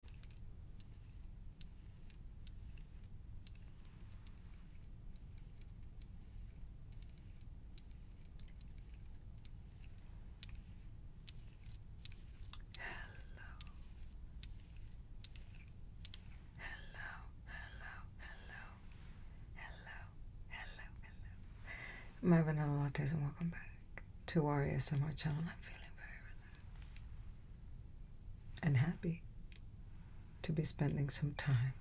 hello, hello, hello, hello, hello, hello. My vanilla lattes and welcome back to Warrior Summer Channel. I'm feeling very and happy to be spending some time.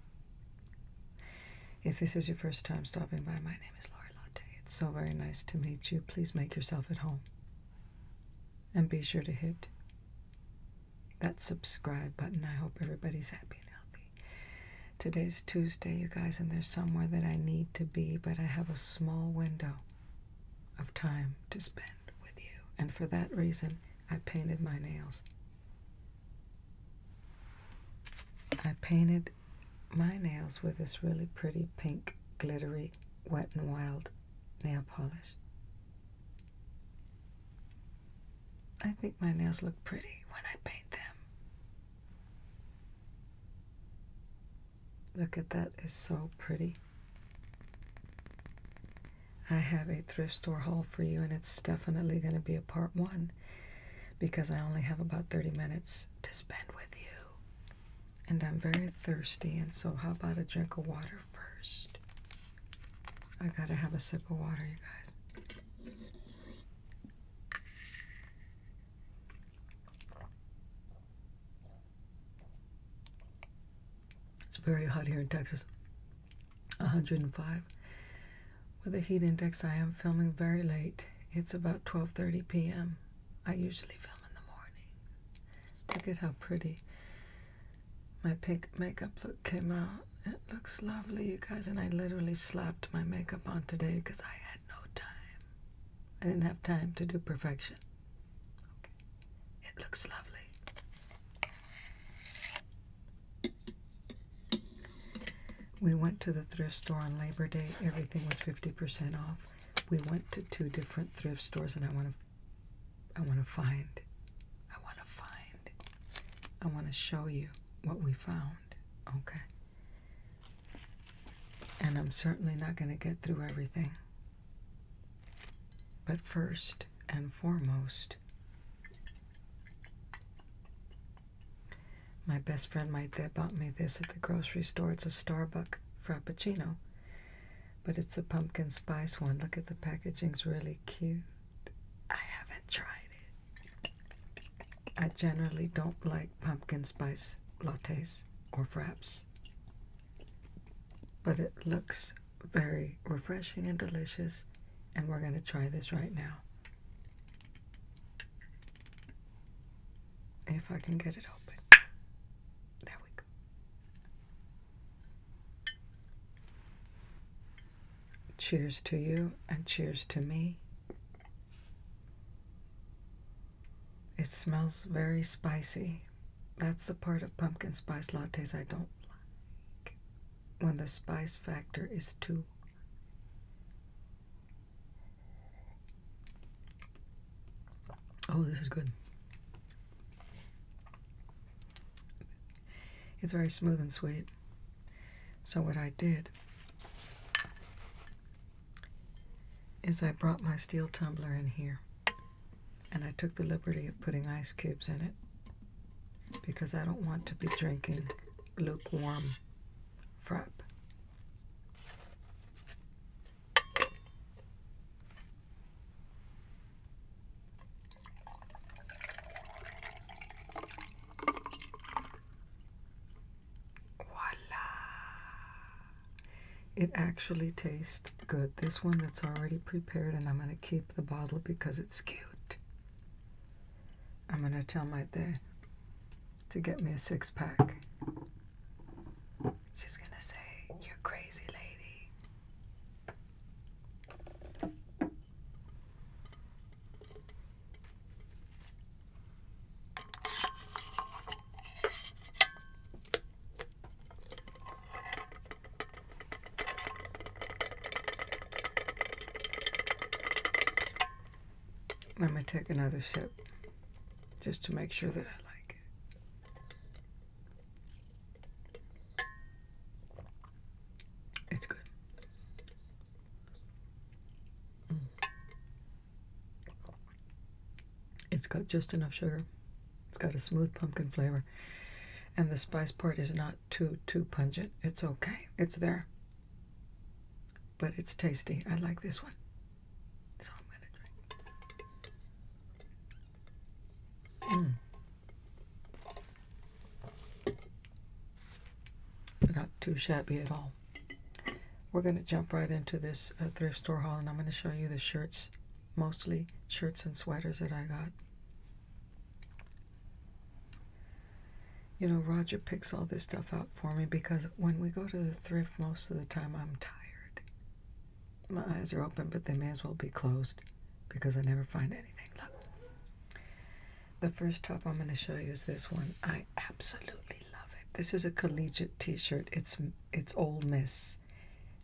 If this is your first time stopping by, my name is Lori Latte. It's so very nice to meet you. Please make yourself at home. And be sure to hit that subscribe button. I hope everybody's happy and healthy. Today's Tuesday, you guys, and there's somewhere that I need to be, but I have a small window of time to spend with you, and for that reason, I painted my nails. I painted my nails with this really pretty pink, glittery, wet and wild nail polish. I think my nails look pretty when I paint them. Look at that, it's so pretty. I have a thrift store haul for you, and it's definitely going to be a part one because I only have about 30 minutes to spend with you. And I'm very thirsty, and so how about a drink of water first? I gotta have a sip of water, you guys. It's very hot here in Texas, 105. With a heat index, I am filming very late. It's about 12:30 p.m. I usually film in the morning. Look at how pretty my pink makeup look came out. It looks lovely, you guys. And I literally slapped my makeup on today because I had no time. I didn't have time to do perfection. Okay. It looks lovely. We went to the thrift store on Labor Day. Everything was 50% off. We went to two different thrift stores and I want to I want to find I want to find I want to show you what we found. Okay. And I'm certainly not going to get through everything. But first and foremost, my best friend right bought me this at the grocery store. It's a Starbucks Frappuccino, but it's a pumpkin spice one. Look at the packaging; it's really cute. I haven't tried it. I generally don't like pumpkin spice lattes or fraps. But it looks very refreshing and delicious, and we're going to try this right now. If I can get it open. There we go. Cheers to you, and cheers to me. It smells very spicy. That's the part of pumpkin spice lattes I don't like. When the spice factor is too Oh, this is good. It's very smooth and sweet. So what I did is I brought my steel tumbler in here and I took the liberty of putting ice cubes in it because I don't want to be drinking lukewarm frapp. Voila! it actually tastes good. This one that's already prepared, and I'm going to keep the bottle because it's cute. I'm going to tell my dad to get me a six pack. She's going to say, You're crazy, lady. Let me take another sip just to make sure that I like it. It's good. Mm. It's got just enough sugar. It's got a smooth pumpkin flavor. And the spice part is not too, too pungent. It's okay. It's there. But it's tasty. I like this one. So I'm going to drink. Mm. Not too shabby at all we're going to jump right into this uh, thrift store haul and I'm going to show you the shirts, mostly shirts and sweaters that I got. You know, Roger picks all this stuff out for me because when we go to the thrift, most of the time I'm tired. My eyes are open, but they may as well be closed because I never find anything. Look. The first top I'm going to show you is this one. I absolutely love it. This is a collegiate t-shirt. It's it's Old Miss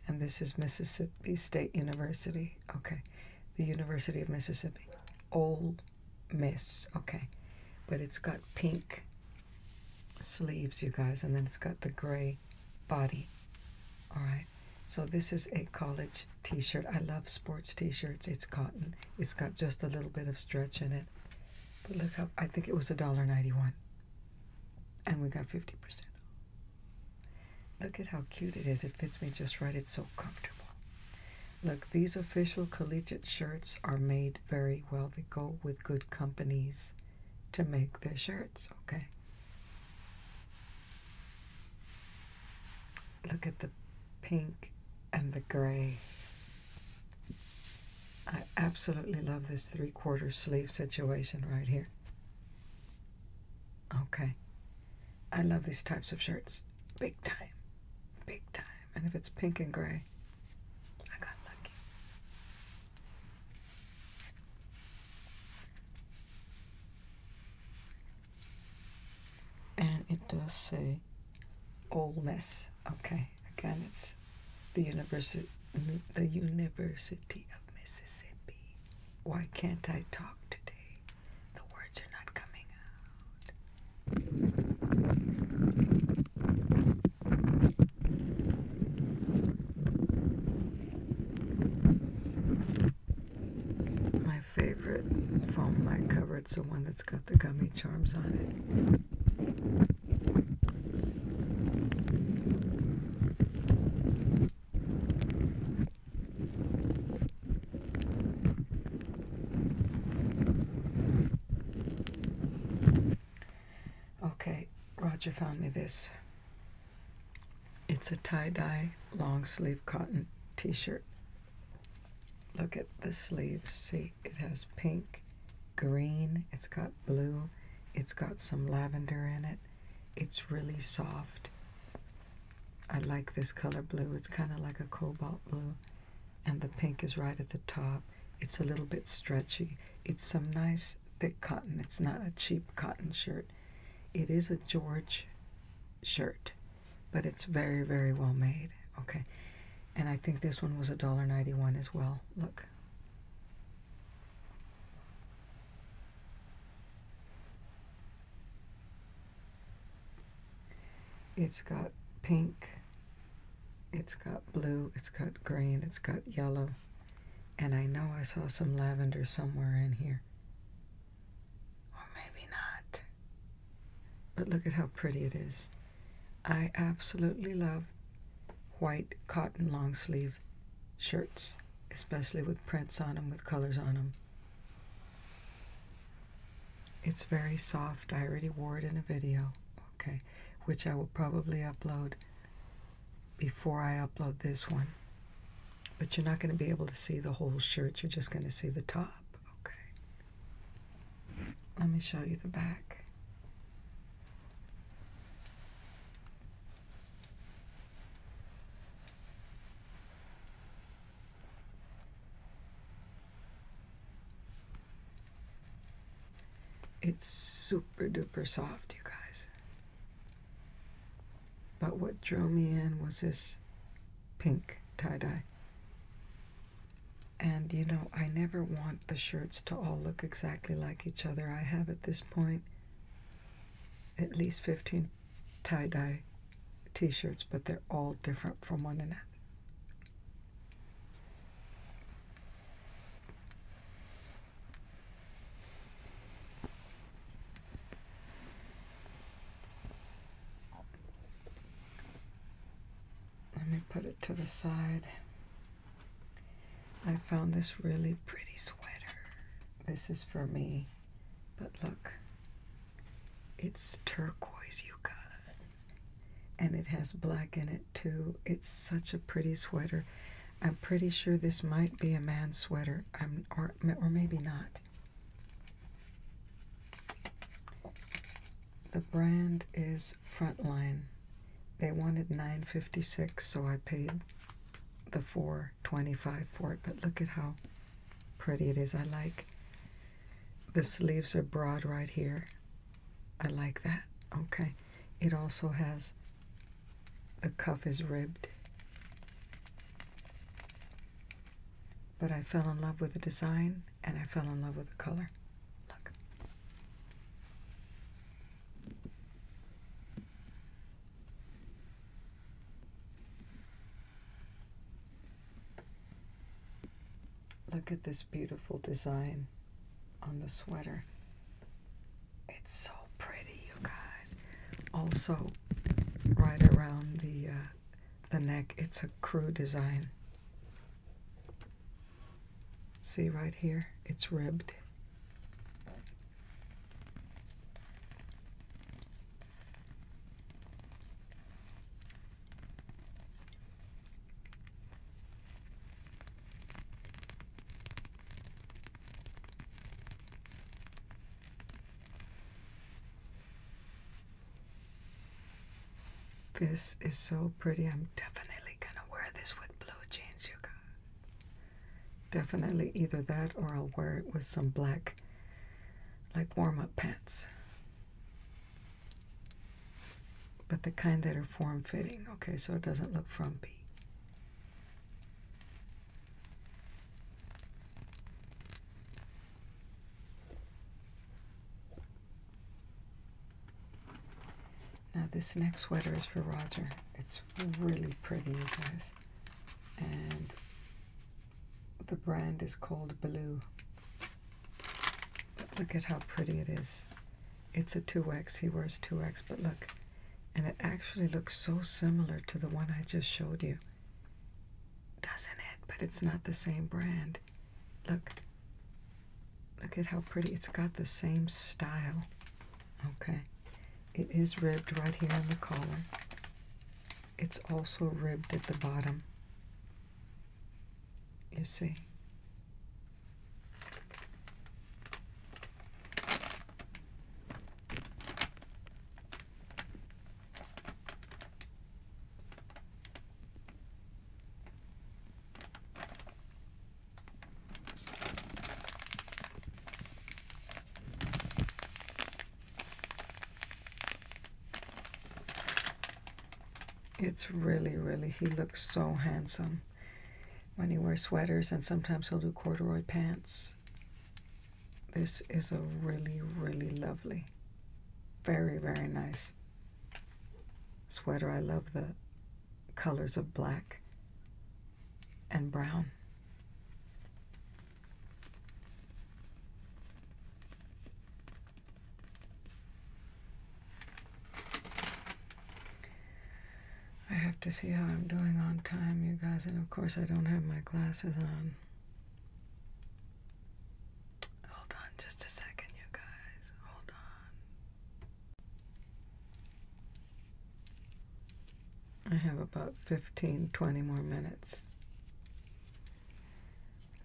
and this is Mississippi State University. Okay, the University of Mississippi. Ole Miss. Okay, but it's got pink sleeves, you guys, and then it's got the gray body. All right, so this is a college t shirt. I love sports t shirts. It's cotton, it's got just a little bit of stretch in it. But look how I think it was a dollar ninety one. And we got 50% off. Look at how cute it is. It fits me just right. It's so comfortable. Look, these official collegiate shirts are made very well. They go with good companies to make their shirts, okay? Look at the pink and the gray. I absolutely love this three-quarter sleeve situation right here. Okay. I love these types of shirts. Big time. Big time. And if it's pink and gray, I got lucky. And it does say Ole Miss. Okay again, it's the University, the University of Mississippi. Why can't I talk today? The words are not coming out. My favorite foam light cover, is the one that's got the gummy charms on it. Okay, Roger found me this. It's a tie dye long sleeve cotton t shirt. Look at the sleeve. See, it has pink green, it's got blue, it's got some lavender in it. It's really soft. I like this color blue. It's kind of like a cobalt blue. And the pink is right at the top. It's a little bit stretchy. It's some nice thick cotton. It's not a cheap cotton shirt. It is a George shirt, but it's very, very well made. Okay. And I think this one was a dollar ninety-one as well. Look. It's got pink, it's got blue, it's got green, it's got yellow, and I know I saw some lavender somewhere in here. Or maybe not. But look at how pretty it is. I absolutely love white cotton long sleeve shirts, especially with prints on them, with colors on them. It's very soft. I already wore it in a video, okay, which I will probably upload before I upload this one. But you're not going to be able to see the whole shirt. You're just going to see the top, okay. Let me show you the back. It's super duper soft, you guys. But what drew me in was this pink tie-dye. And you know, I never want the shirts to all look exactly like each other. I have at this point at least 15 tie dye t shirts, but they're all different from one another. Let me put it to the side. I found this really pretty sweater. This is for me, but look, it's turquoise, you guys. And it has black in it too. It's such a pretty sweater. I'm pretty sure this might be a man's sweater, or, or maybe not. The brand is Front line, They wanted 956, so I paid the 425 for it. But look at how pretty it is. I like the sleeves are broad right here. I like that. Okay. It also has the cuff is ribbed. But I fell in love with the design and I fell in love with the color. Look. Look at this beautiful design on the sweater. It's so pretty, you guys. Also, right around the uh, the neck, it's a crew design. See right here? It's ribbed. This is so pretty. I'm definitely gonna wear this with blue jeans, you guys. Definitely either that or I'll wear it with some black, like warm up pants. But the kind that are form fitting. Okay, so it doesn't look frumpy. Now this next sweater is for Roger. It's really pretty, guys. And the brand is called Blue. But look at how pretty it is. It's a 2X. He wears 2X, but look. And it actually looks so similar to the one I just showed you. Doesn't it? But it's not the same brand. Look. Look at how pretty. It's got the same style. Okay. It is ribbed right here in the collar. It's also ribbed at the bottom. You see? It's really, really, he looks so handsome when he wears sweaters, and sometimes he'll do corduroy pants. This is a really, really lovely, very, very nice sweater. I love the colors of black and brown. I have to see how I'm doing on time, you guys, and of course I don't have my glasses on. Hold on just a second, you guys. Hold on. I have about 15, 20 more minutes.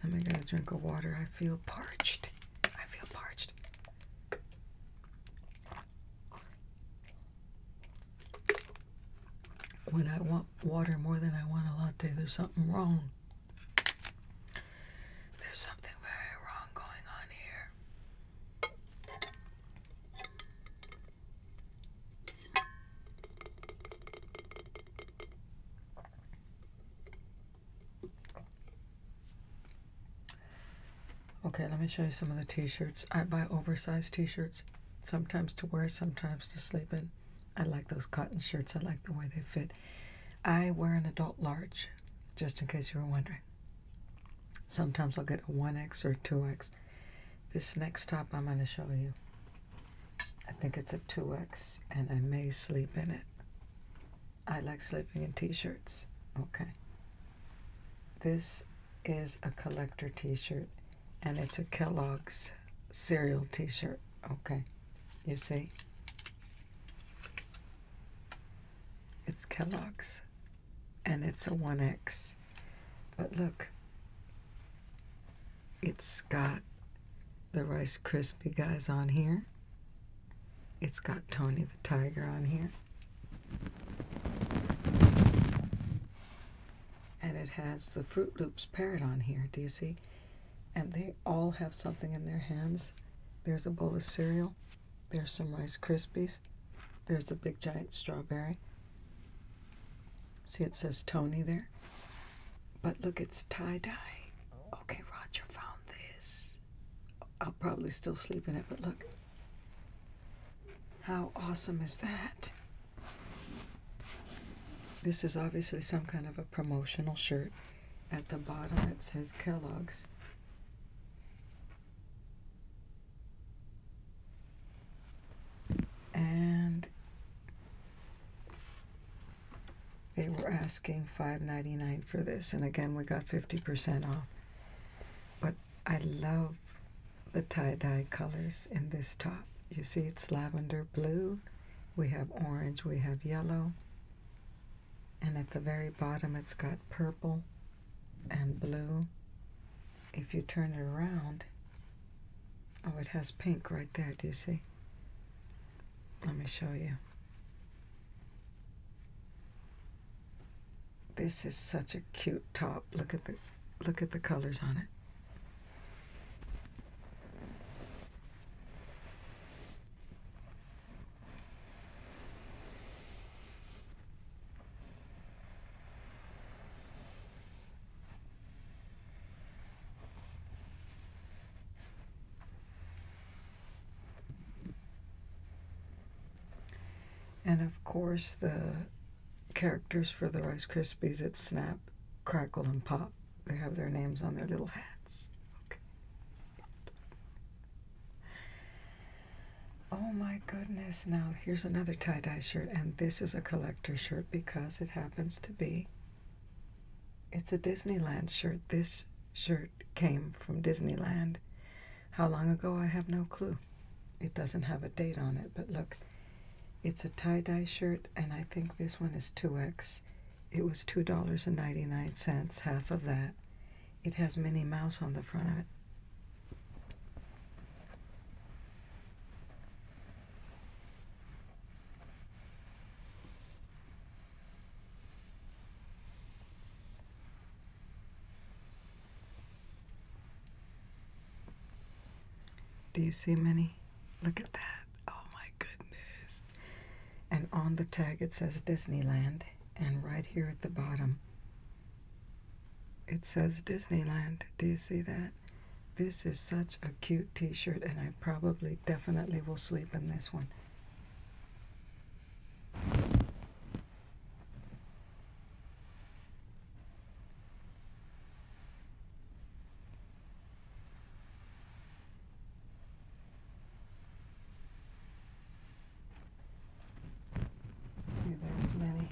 Let me get a drink of water. I feel parched. I feel parched. When I want water more than I want a latte, there's something wrong. There's something very wrong going on here. Okay, let me show you some of the t-shirts. I buy oversized t-shirts, sometimes to wear, sometimes to sleep in. I like those cotton shirts. I like the way they fit. I wear an adult large, just in case you were wondering. Sometimes I'll get a 1X or a 2X. This next top I'm going to show you. I think it's a 2X and I may sleep in it. I like sleeping in t-shirts. Okay. This is a collector t-shirt and it's a Kellogg's cereal t-shirt. Okay. You see? It's Kellogg's. And it's a 1X. But look, it's got the Rice Krispie guys on here. It's got Tony the Tiger on here. And it has the Fruit Loops parrot on here. Do you see? And they all have something in their hands. There's a bowl of cereal. There's some Rice Krispies. There's a big giant strawberry. See, it says Tony there. But look, it's tie dye. Okay, Roger found this. I'll probably still sleep in it, but look. How awesome is that? This is obviously some kind of a promotional shirt. At the bottom, it says Kellogg's. And they were asking $5.99 for this. And again, we got 50% off. But I love the tie-dye colors in this top. You see it's lavender blue. We have orange. We have yellow and at the very bottom it's got purple and blue. If you turn it around, oh, it has pink right there. Do you see? Let me show you. This is such a cute top. Look at the look at the colors on it. And of course, the characters for the Rice Krispies at Snap, Crackle, and Pop, they have their names on their little hats. Oh my goodness. Now, here's another tie dye shirt, and this is a collector shirt because it happens to be. It's a Disneyland shirt. This shirt came from Disneyland. How long ago, I have no clue. It doesn't have a date on it, but look, it's a tie dye shirt, and I think this one is 2X. It was $2.99, half of that. It has Minnie Mouse on the front of it. Do you see Minnie? Look at that. Oh my goodness and on the tag it says Disneyland, and right here at the bottom it says Disneyland. Do you see that? This is such a cute t shirt, and I probably definitely will sleep in this one. See, there's many.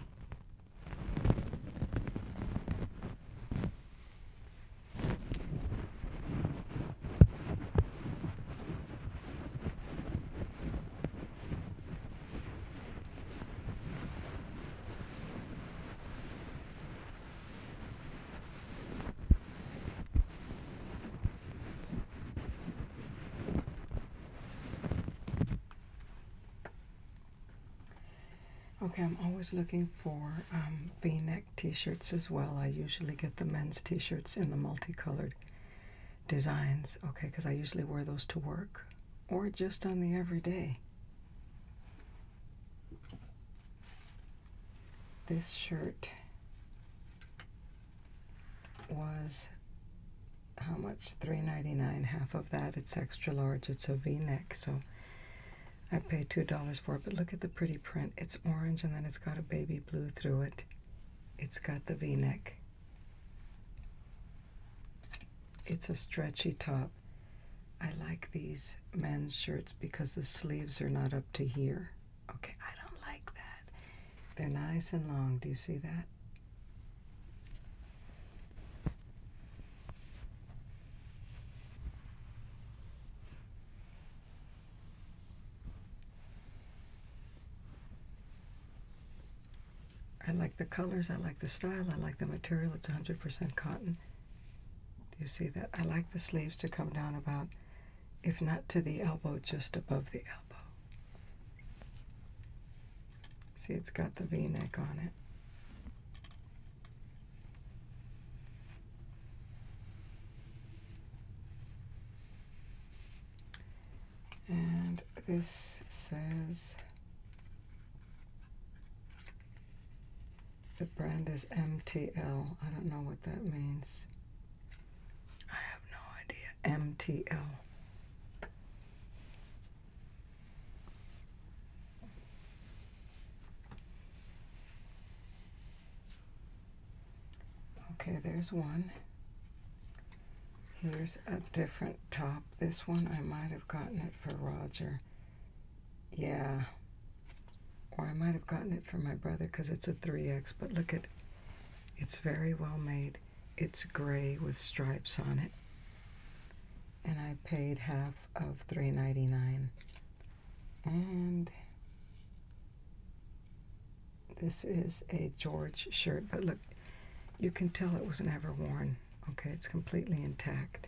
Okay, I'm always looking for um, v-neck t-shirts as well. I usually get the men's t-shirts in the multicolored designs, okay, because I usually wear those to work or just on the everyday. This shirt was how much? $3.99. Half of that, it's extra large. It's a v-neck, so I paid $2 for it. But look at the pretty print. It's orange, and then it's got a baby blue through it. It's got the v-neck. It's a stretchy top. I like these men's shirts because the sleeves are not up to here. Okay, I don't like that. They're nice and long. Do you see that? I like the colors, I like the style, I like the material. It's 100% cotton. Do you see that? I like the sleeves to come down about if not to the elbow, just above the elbow. See, it's got the v neck on it. And this says the brand is MTL. I don't know what that means no idea. MTL. Okay, there's one. Here's a different top. This one, I might have gotten it for Roger. Yeah. Or I might have gotten it for my brother because it's a 3X, but look at it's very well made. It's gray with stripes on it. And I paid half of $3.99. And this is a George shirt, but look, you can tell it was never worn. Okay, it's completely intact.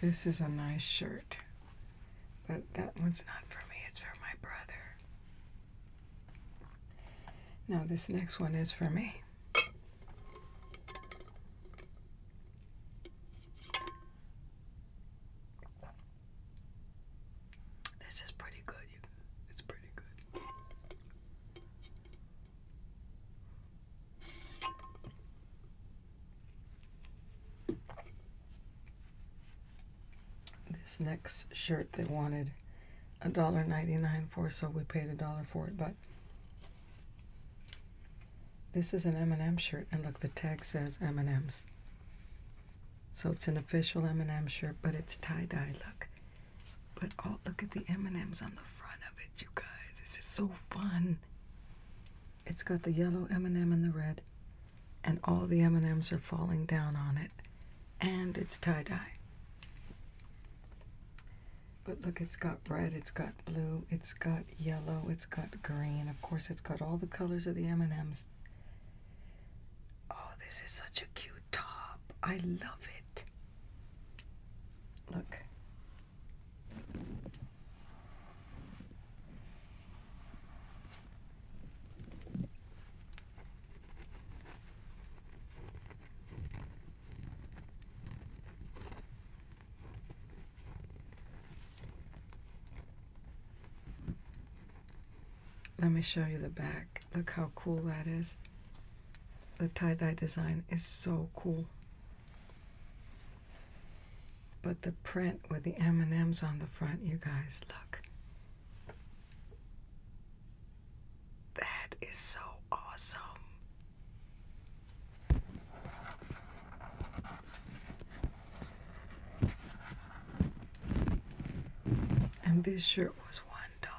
This is a nice shirt, but that one's not for me, it's for my brother. Now, this next one is for me. This is pretty good. It's pretty good. This next shirt they wanted a dollar ninety nine for, so we paid a dollar for it. But this is an M&M shirt, and look, the tag says M&M's. So it's an official M&M shirt, but it's tie-dye, look. But oh, look at the M&Ms on the front of it, you guys. This is so fun. It's got the yellow M&M and the red, and all the M&Ms are falling down on it, and it's tie-dye. But look, it's got red, it's got blue, it's got yellow, it's got green. Of course, it's got all the colors of the M&Ms. Oh, this is such a cute top. I love it. Look. Let me show you the back. Look how cool that is. The tie-dye design is so cool. But the print with the M&Ms on the front, you guys, look. That is so awesome. And this shirt was $1.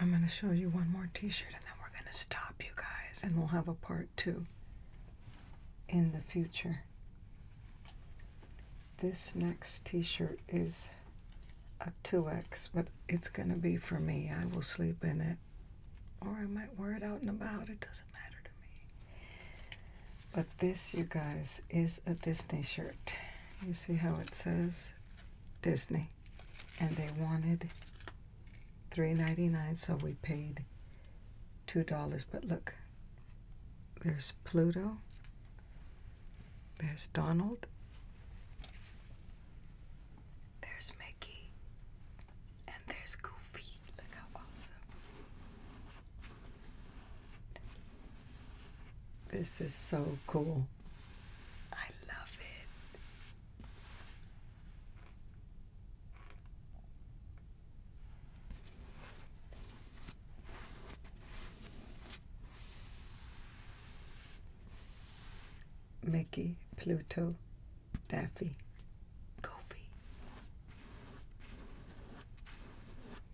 I'm going to show you one more t shirt and then we're going to stop you guys and we'll have a part two in the future. This next t shirt is a 2X, but it's going to be for me. I will sleep in it or I might wear it out and about. It doesn't matter to me. But this, you guys, is a Disney shirt. You see how it says Disney. And they wanted $3.99, so we paid $2. But look, there's Pluto. There's Donald. There's Mickey. And there's Goofy. Look how awesome. This is so cool. I love it. Mickey, Pluto, Daffy, Goofy.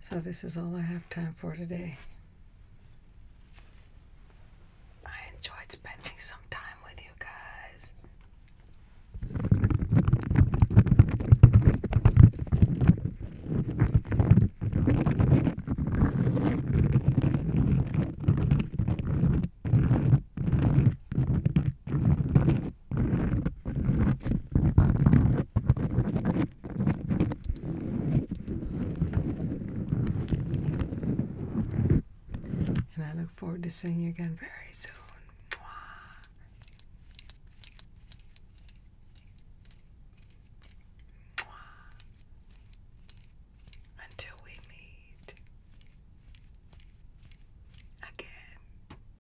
So, this is all I have time for today. I enjoyed spending some time with you guys. And I look forward to seeing you again very soon. Until we meet again.